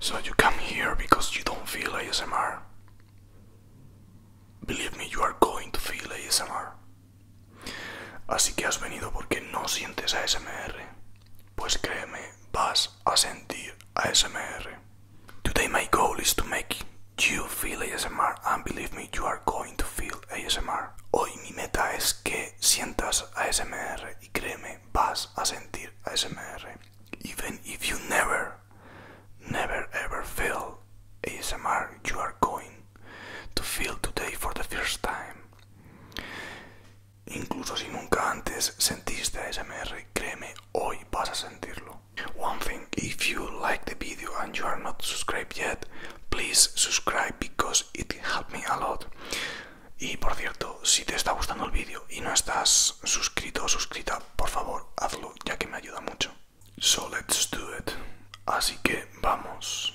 So you come here because you don't feel ASMR. Believe me, you are going to feel ASMR. Así que has venido porque no sientes ASMR. Pues créeme, vas a sentir ASMR. Today my goal is to make you feel ASMR and believe me you are going to feel ASMR. Hoy mi meta es que sientas ASMR y créeme vas a sentir ASMR. Even if you never, never ever feel ASMR, you are going to feel today for the first time. Incluso si nunca antes sentiste ASMR, créeme, hoy vas a sentirlo. One thing, if you like the video and you are not subscribed yet, please subscribe because it helped me a lot. Y por cierto, si te está gustando el vídeo y no estás suscrito o suscrita, por favor, hazlo ya que me ayuda mucho. So let's do it. Así que vamos.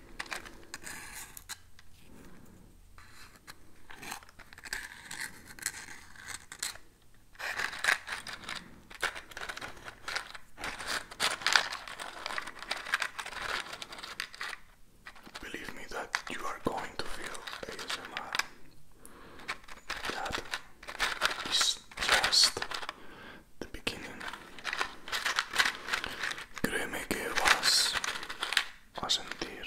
Believe me that you are going to feel ASMR. That is just the beginning. Créeme que vas a sentir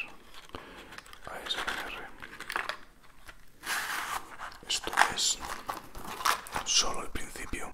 a ASMR. Esto es solo el principio.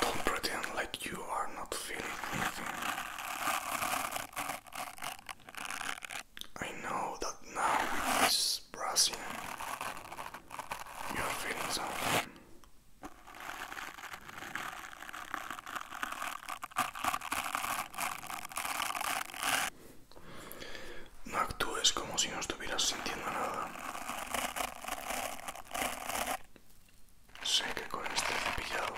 Don't pretend like you are not feeling anything. I know that now is Brazil. You're feeling something. No actúes como si no estuvieras sintiendo nada. Sé que con este cepillado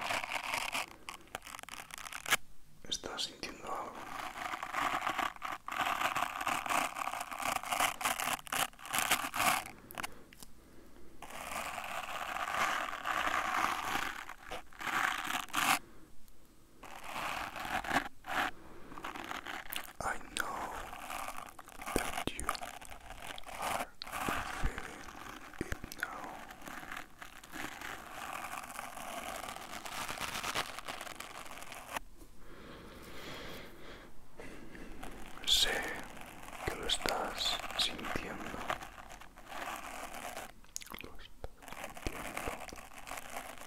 ¿Estás sintiendo algo? I know that you are feeling it now. Sé que lo estás sintiendo. Lo estás sintiendo.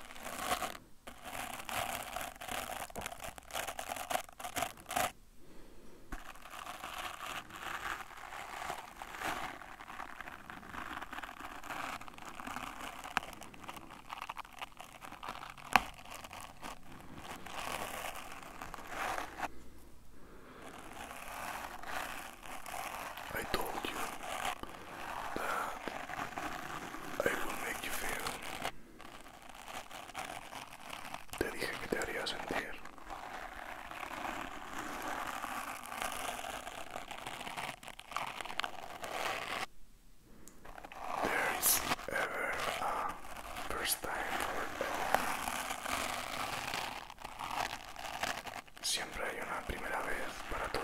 I told you that I will make you feel. Te dije que te haría sentir There is ever a first time Siempre hay una primera vez para todo.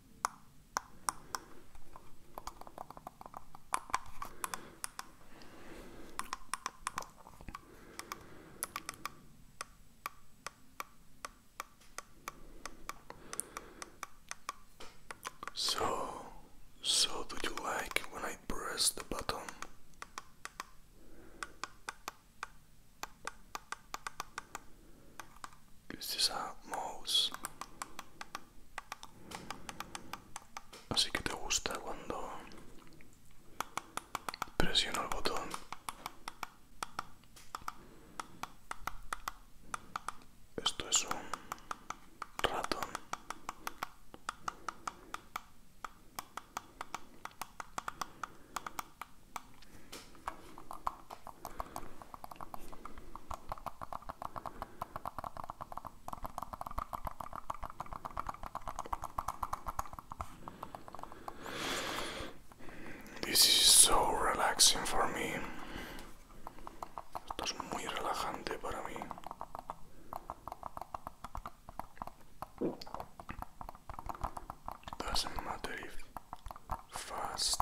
So, so do you like when I press the button? Is a mouse? Así que te gusta cuando presiono el botón. Esto es un ratón. This is so relaxing for me. Esto es muy relajante para mí. Doesn't matter if fast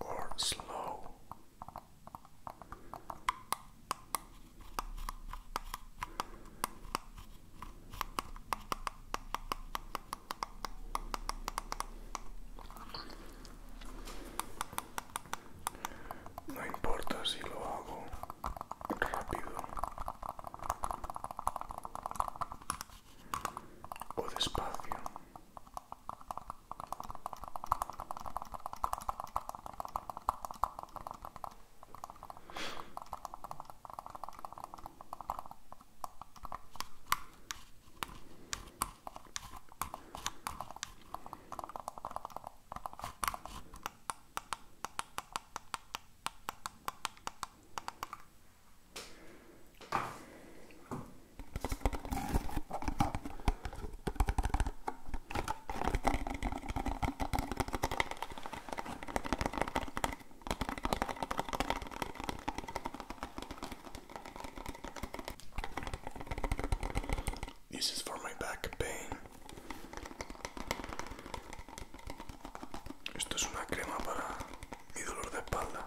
or slow. No importa si lo hago rápido o despacio. This is for my back pain. Esto es una crema para y dolor de espalda.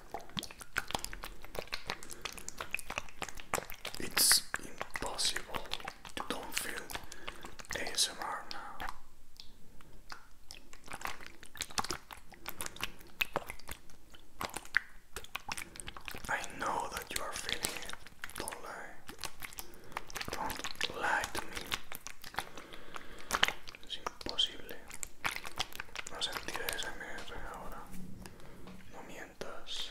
It's impossible to don't feel ASMR now. I know that you are feeling it. Don't lie. Don't lie to me. posible. No sentir MR ahora. No mientas.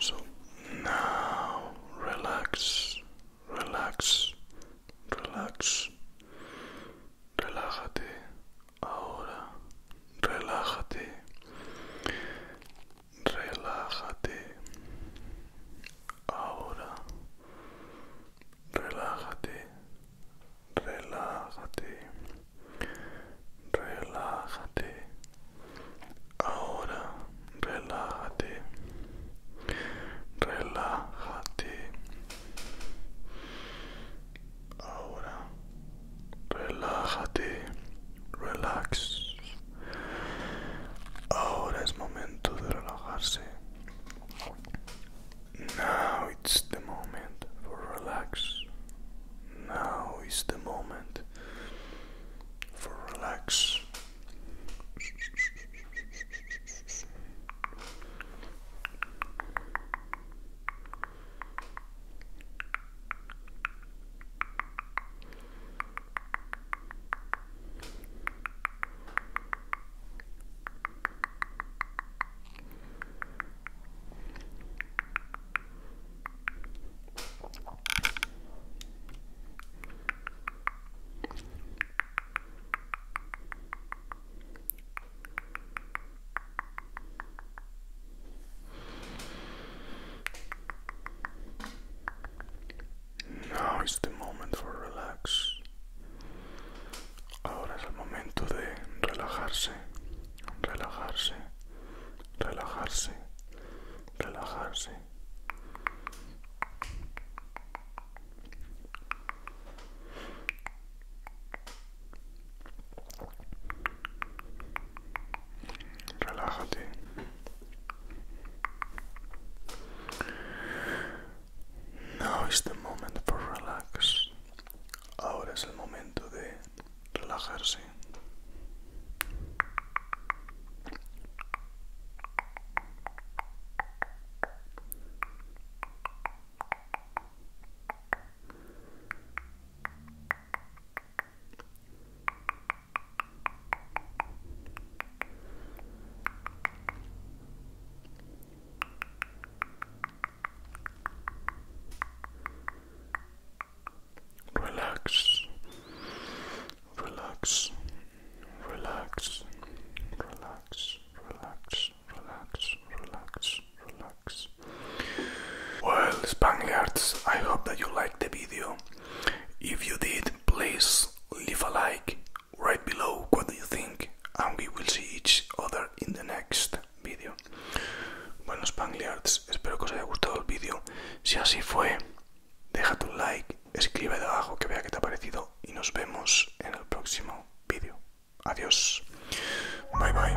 So now relax, relax, relax. Relájate ahora, relájate, relájate ahora, relájate relájate, relájate, ahora relájate, relájate, ahora relájate, relax, ahora es momento de relajarse. Now it's the moment for relax. Now is the moment for relax. Now is the moment for relax. Ahora es el momento de relajarse, relajarse, relajarse, relajarse. Relájate. Now is the moment for relax. Ahora es el momento de relajarse. Relax, relax, relax, relax, relax, relax, relax, relax. Well, Spaniards, I hope that you liked the video. If you did, please leave a like Right below what do you think and we will see each other in the next video. Bueno Spangliards, espero que os haya gustado el vídeo. Si así fue, deja tu like, escribe debajo que vea qué te ha parecido y nos vemos en el próximo vídeo. Adiós. Bye bye.